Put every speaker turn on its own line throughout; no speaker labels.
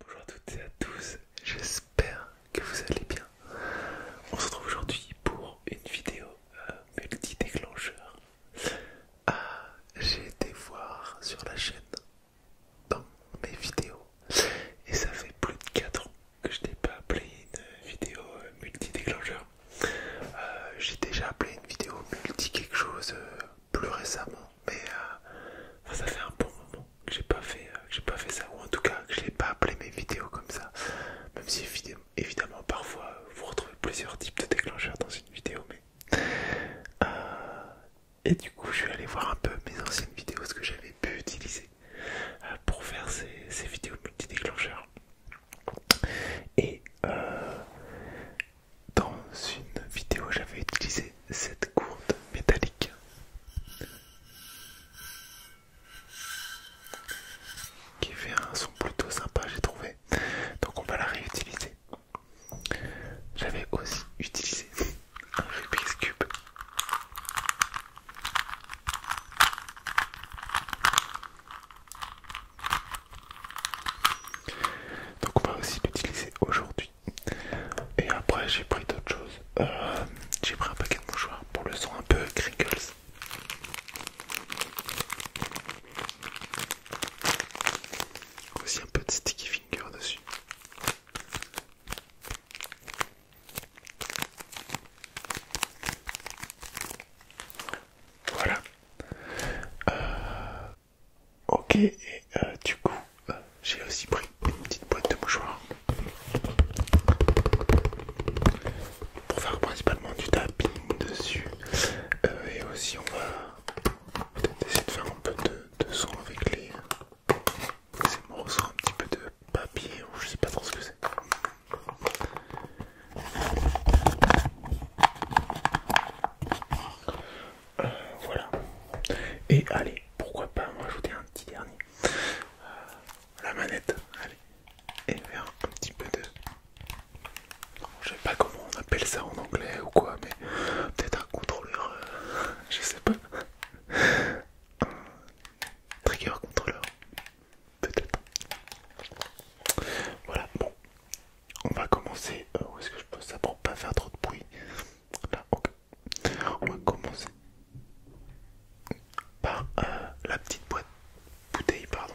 Bonjour à toutes et à tous, j'espère que vous allez bien. On se retrouve aujourd'hui pour une vidéo euh, multi-déclencheur. Ah, j'ai été voir sur la chaîne dans mes vidéos et ça fait plus de 4 ans que je n'ai pas appelé une vidéo euh, multi-déclencheur. Euh, j'ai déjà appelé une vidéo multi-quelque chose plus récemment, mais euh, ça fait un bon moment que j'ai pas fait, euh, j'ai pas fait ça, ou en tout cas que je n'ai pas appelé mes vidéos comme ça. Même si évidemment parfois vous retrouvez plusieurs types de déclencheurs dans une vidéo, mais euh, et du coup je vais aller voir un peu mes anciennes vidéos, ce que j'avais pu utiliser pour faire ces, vidéos multi-déclencheurs. Et dans une vidéo, j'avais utilisé cette gourde métallique. Qui fait un son plutôt sympa, j'ai trouvé. Donc on va la réutiliser. J'avais aussi utilisé un Rubik's Cube. Donc on va aussi l'utiliser aujourd'hui et après, j'ai pris d'autres choses. Euh, j'ai pris un paquet de mouchoirs pour le son un peu crinkles. Aussi un peu de sticky finger dessus. Voilà. Euh, Ok, et euh, du coup, euh, j'ai aussi pris une petite boîte de mouchoirs pour faire principalement du tapping dessus. Euh, et aussi, on va peut-être essayer de faire un peu de, son avec les mon un petit peu de papier ou je sais pas trop ce que c'est voilà. Et allez, pourquoi pas rajouter un petit dernier. Euh, la manette, allez. Et faire un petit peu de... je sais pas comment on appelle ça en anglais ou quoi, mais peut-être un contrôleur, euh, je sais pas. trigger controller, peut-être. Voilà, bon, on va commencer. Euh, où est-ce que je peux ça pour pas faire trop de bruit bah, ok. On va commencer par euh, la petite boîte bouteille, pardon.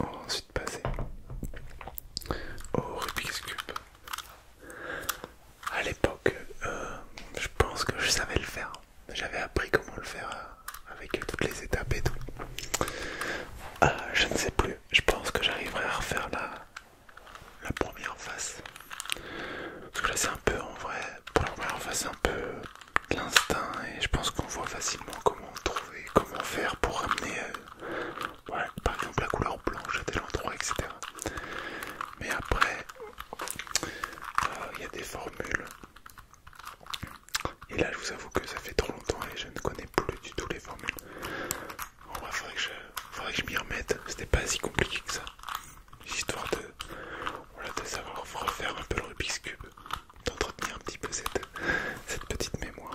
On va ensuite passer au Rubik's Cube. À l'époque, euh, je pense que je savais le faire. J'avais appris comment le faire euh, avec toutes les étapes et tout. Ah, je ne sais plus. Je pense que j'arriverai à refaire la, première face. Parce que là c'est un peu en vrai. Pour la première face c'est un peu l'instinct et je pense qu'on voit facilement comment trouver, comment faire pour ramener euh, par exemple la couleur blanche à tel endroit, etc. Mais après euh, il y a des formules. Et là, je vous avoue que ça fait trop longtemps et je ne connais plus du tout les formules. il faudrait que je, m'y remette. C'était pas si compliqué que ça. Histoire de, savoir refaire un peu le Rubik's Cube, d'entretenir un petit peu cette, cette petite mémoire.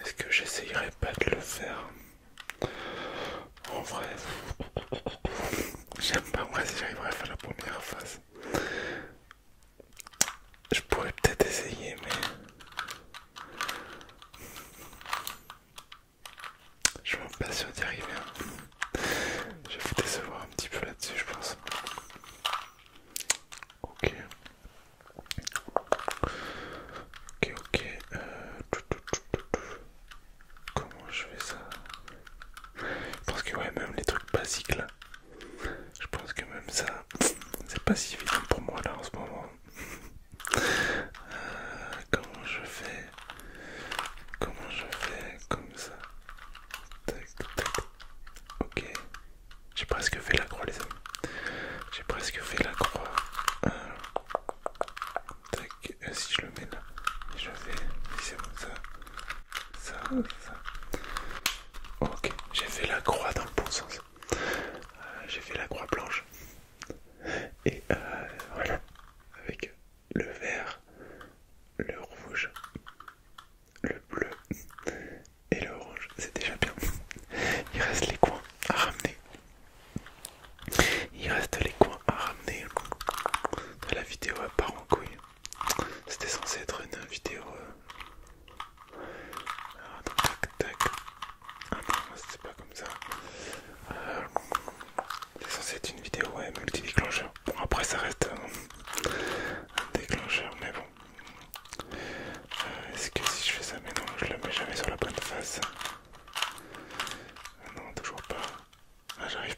Est-ce que j'essayerai pas de le faire En vrai, j'aime pas moi si j'arriverai à faire la première phase. Je pourrais peut-être essayer, mais je suis pas sûr d'y arriver. Hein. Je vais vous décevoir un petit peu là-dessus, je pense. Ok. Ok, ok. Euh, Comment je fais ça Je pense que, ouais, même les trucs basiques là. Je pense que même ça, c'est pas si évident pour moi là en ce moment comment je fais Comment je fais comme ça Ok. J'ai presque fait la croix, les amis. J'ai presque fait la croix. Euh, euh, si je le mets là, je fais. c'est bon, ça. Ça, ça. Ok. J'ai fait la croix dans le bon sens. Euh, j'ai fait la croix blanche. Et euh, voilà, avec le vert, le rouge, le bleu et le orange. C'est déjà bien. Il reste les coins à ramener. Il reste les coins à ramener. La vidéo à part en couille. C'était censé être une vidéo euh, alors, ah, tac, tac, ah c'est pas comme ça. Euh, c'est censé être une vidéo, ouais, multi-déclencheur. Bon, après, ça reste un déclencheur, mais bon. Euh, est-ce que si je fais ça, mais non, je la mets jamais sur la bonne face. Euh, non, toujours pas. Ah, j'arrive.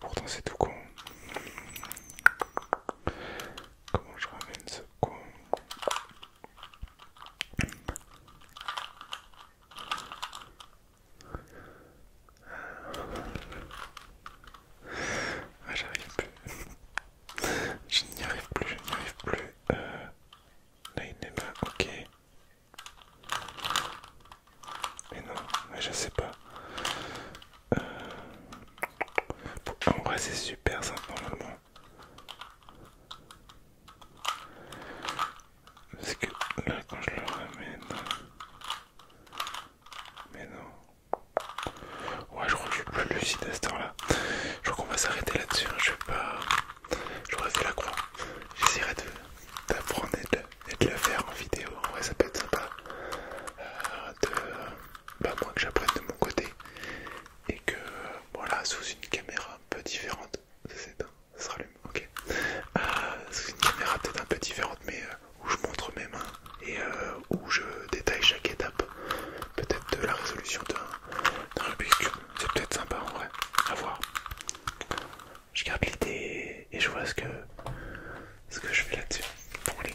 Pourtant, c'est tout con. Comment je ramène ce con ah, j'arrive plus. je n'y arrive plus, je n'y arrive plus. Euh, là, il n'est Ok. Mais non, mais je sais pas. Euh, Pourquoi ah, en vrai, c'est super Normalement parce que là, quand je le ramène. Mais non. Ouais, je crois que je suis plus lucide à ce temps là Je crois qu'on va s'arrêter là-dessus. Hein. Je vais pas. J'aurais dû la croix. J'essaierai d'apprendre et, et de le faire en vidéo. Ouais, ça peut être sympa. Euh, de pas bah, moi que j'apprenne de mon côté et que voilà sous une caméra un peu différente s'éteint, ça sera le ok euh, sous une caméra peut-être un peu différente mais euh, où je montre mes mains et euh, où je détaille chaque étape peut-être de la résolution d'un Rubik's c'est peut-être sympa en vrai à voir je garde l'idée et je vois ce que ce que je fais là-dessus bon allez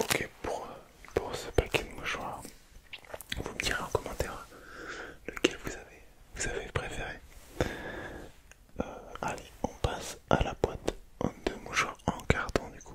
Ok pour, pour ce paquet de mouchoirs, vous me direz en commentaire lequel vous avez vous avez préféré. Euh, allez, on passe à la boîte de mouchoirs en carton du coup.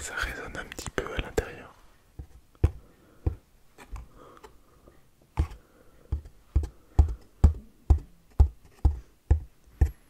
Ça résonne un petit peu à l'intérieur.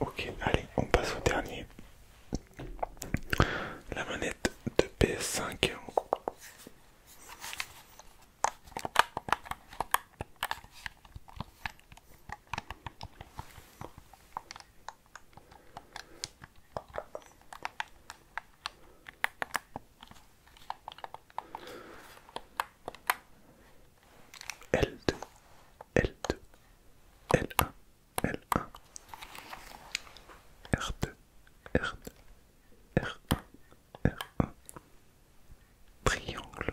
Ok, allez, on passe au dernier. La manette de PS5. L2, L2, l un, l un, R2, R2, r un, R1, triangle,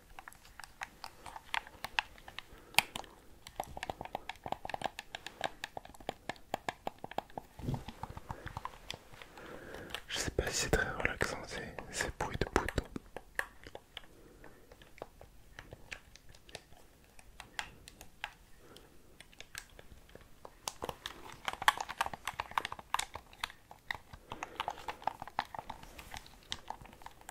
Je sais pas si c'est très relaxant, c'est pour de boutons.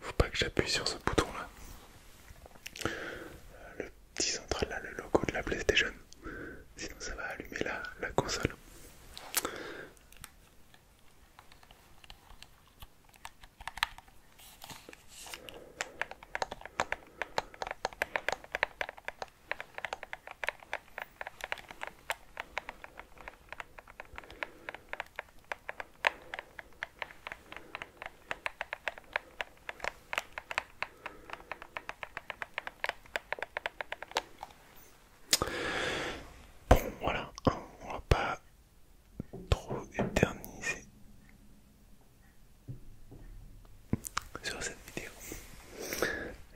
Faut pas que j'appuie sur ce bouton là. Le petit central là, le logo de la PlayStation. Sinon ça va allumer la, la console. Bon, voilà, on va pas trop éterniser sur cette vidéo.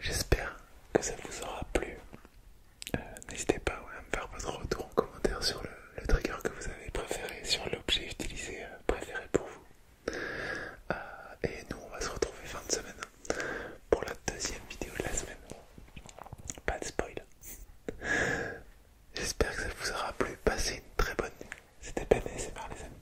J'espère que ça vous aura plu. Euh, n'hésitez pas à me faire votre retour en commentaire sur le, trigger que vous avez préféré, sur l'objet utilisé euh, préféré pour vous. Euh, et nous, on va se retrouver fin de semaine pour la deuxième vidéo de la semaine. Pas de spoil. J'espère que ça vous aura plu. Passez une très bonne nuit. C'était Ben et c'est les amis.